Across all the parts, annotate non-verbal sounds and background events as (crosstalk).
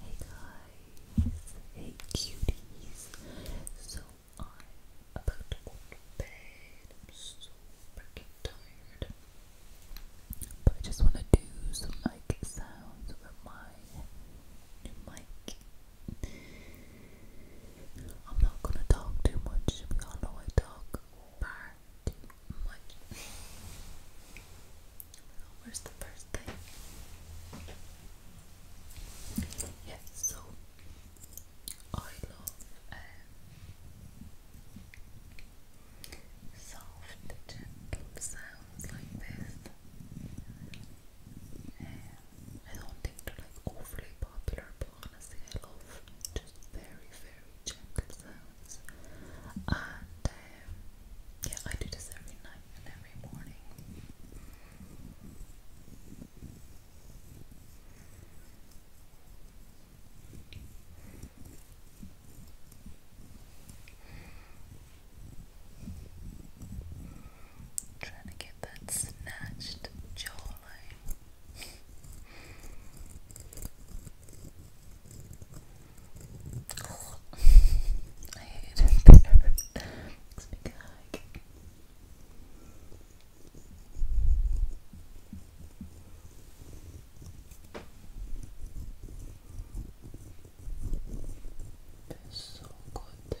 Hey guys, hey cuties. So I'm about to go to bed. I'm so freaking tired. But I just want to do some like sounds with my mic. I'm not gonna talk too much. We all know I talk too much where's the first thing? Yes, so I love um, soft, gentle sounds like this. Um, I don't think they're like overly popular, but honestly, I love just very, very gentle sounds. And uh, yeah, I do this every night and every morning. Trying to get that snatched jawline. I hate it there. Makes me gag. It's so good there.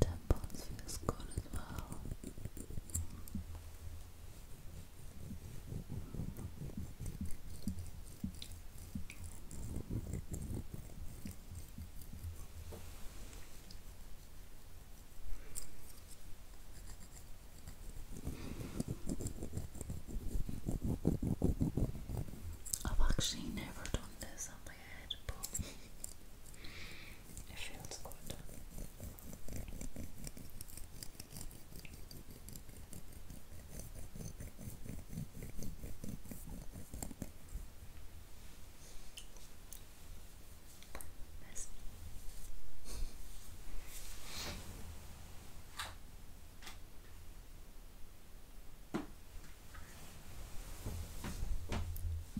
Temples feels good as well. I've actually never done this head, but it feels good.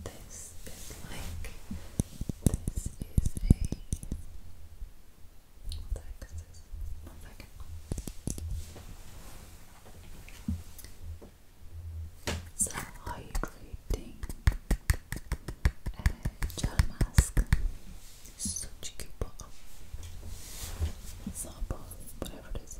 This is like this is a what the heck is this? One second. It's a hydrating gel mask. Such a cute bottle. It's not a bottle, whatever this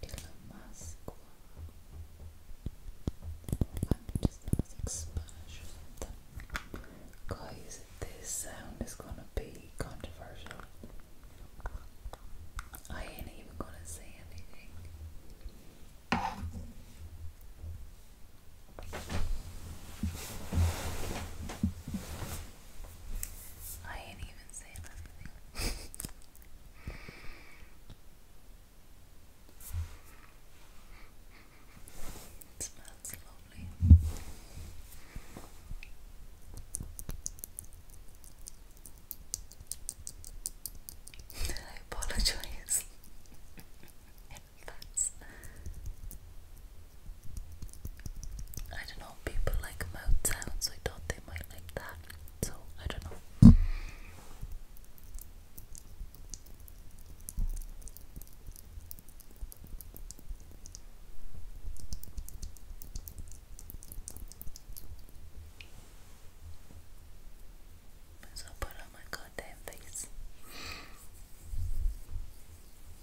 Damascus. Just this sound is gonna be controversial. I ain't even gonna say anything. I ain't even saying anything. it smells lovely. (laughs) I apologize. I don't know, people like mouth sounds, so I thought they might like that. So I don't know. So put on my goddamn face.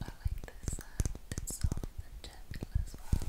I like this sound, it's soft as well.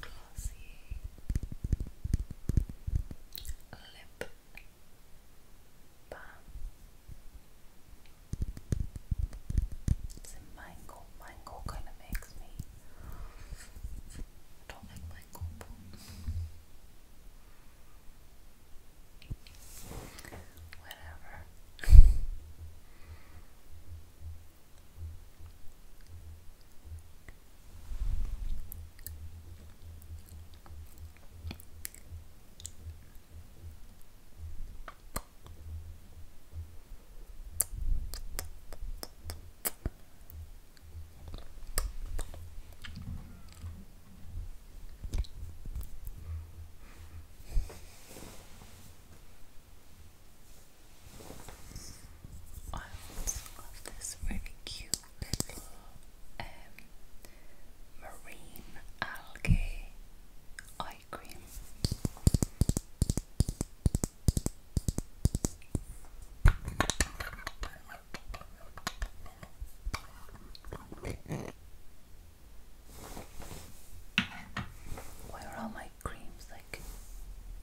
Glossy lip balm. It's a mango mango kind of makes me. don't like mango. But whatever. I also love this really cute little um, marine algae eye cream. Where are my creams? Like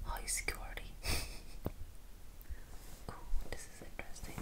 high security. (laughs) cool, this is interesting.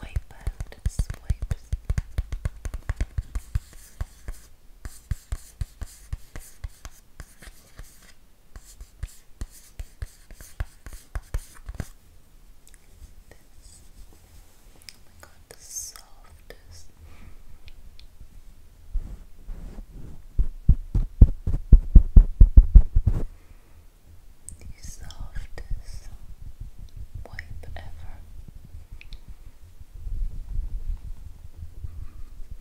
Wipe out swipes. This. Oh the softest. The softest wipe ever.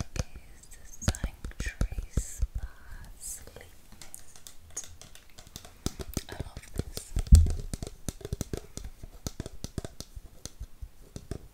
It is the Sanctuary Spa Sleep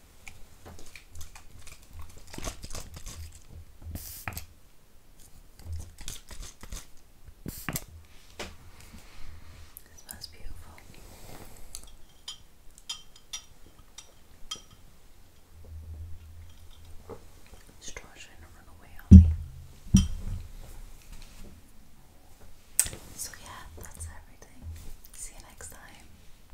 It smells beautiful. This drawer run away So yeah, that's everything. See you next time.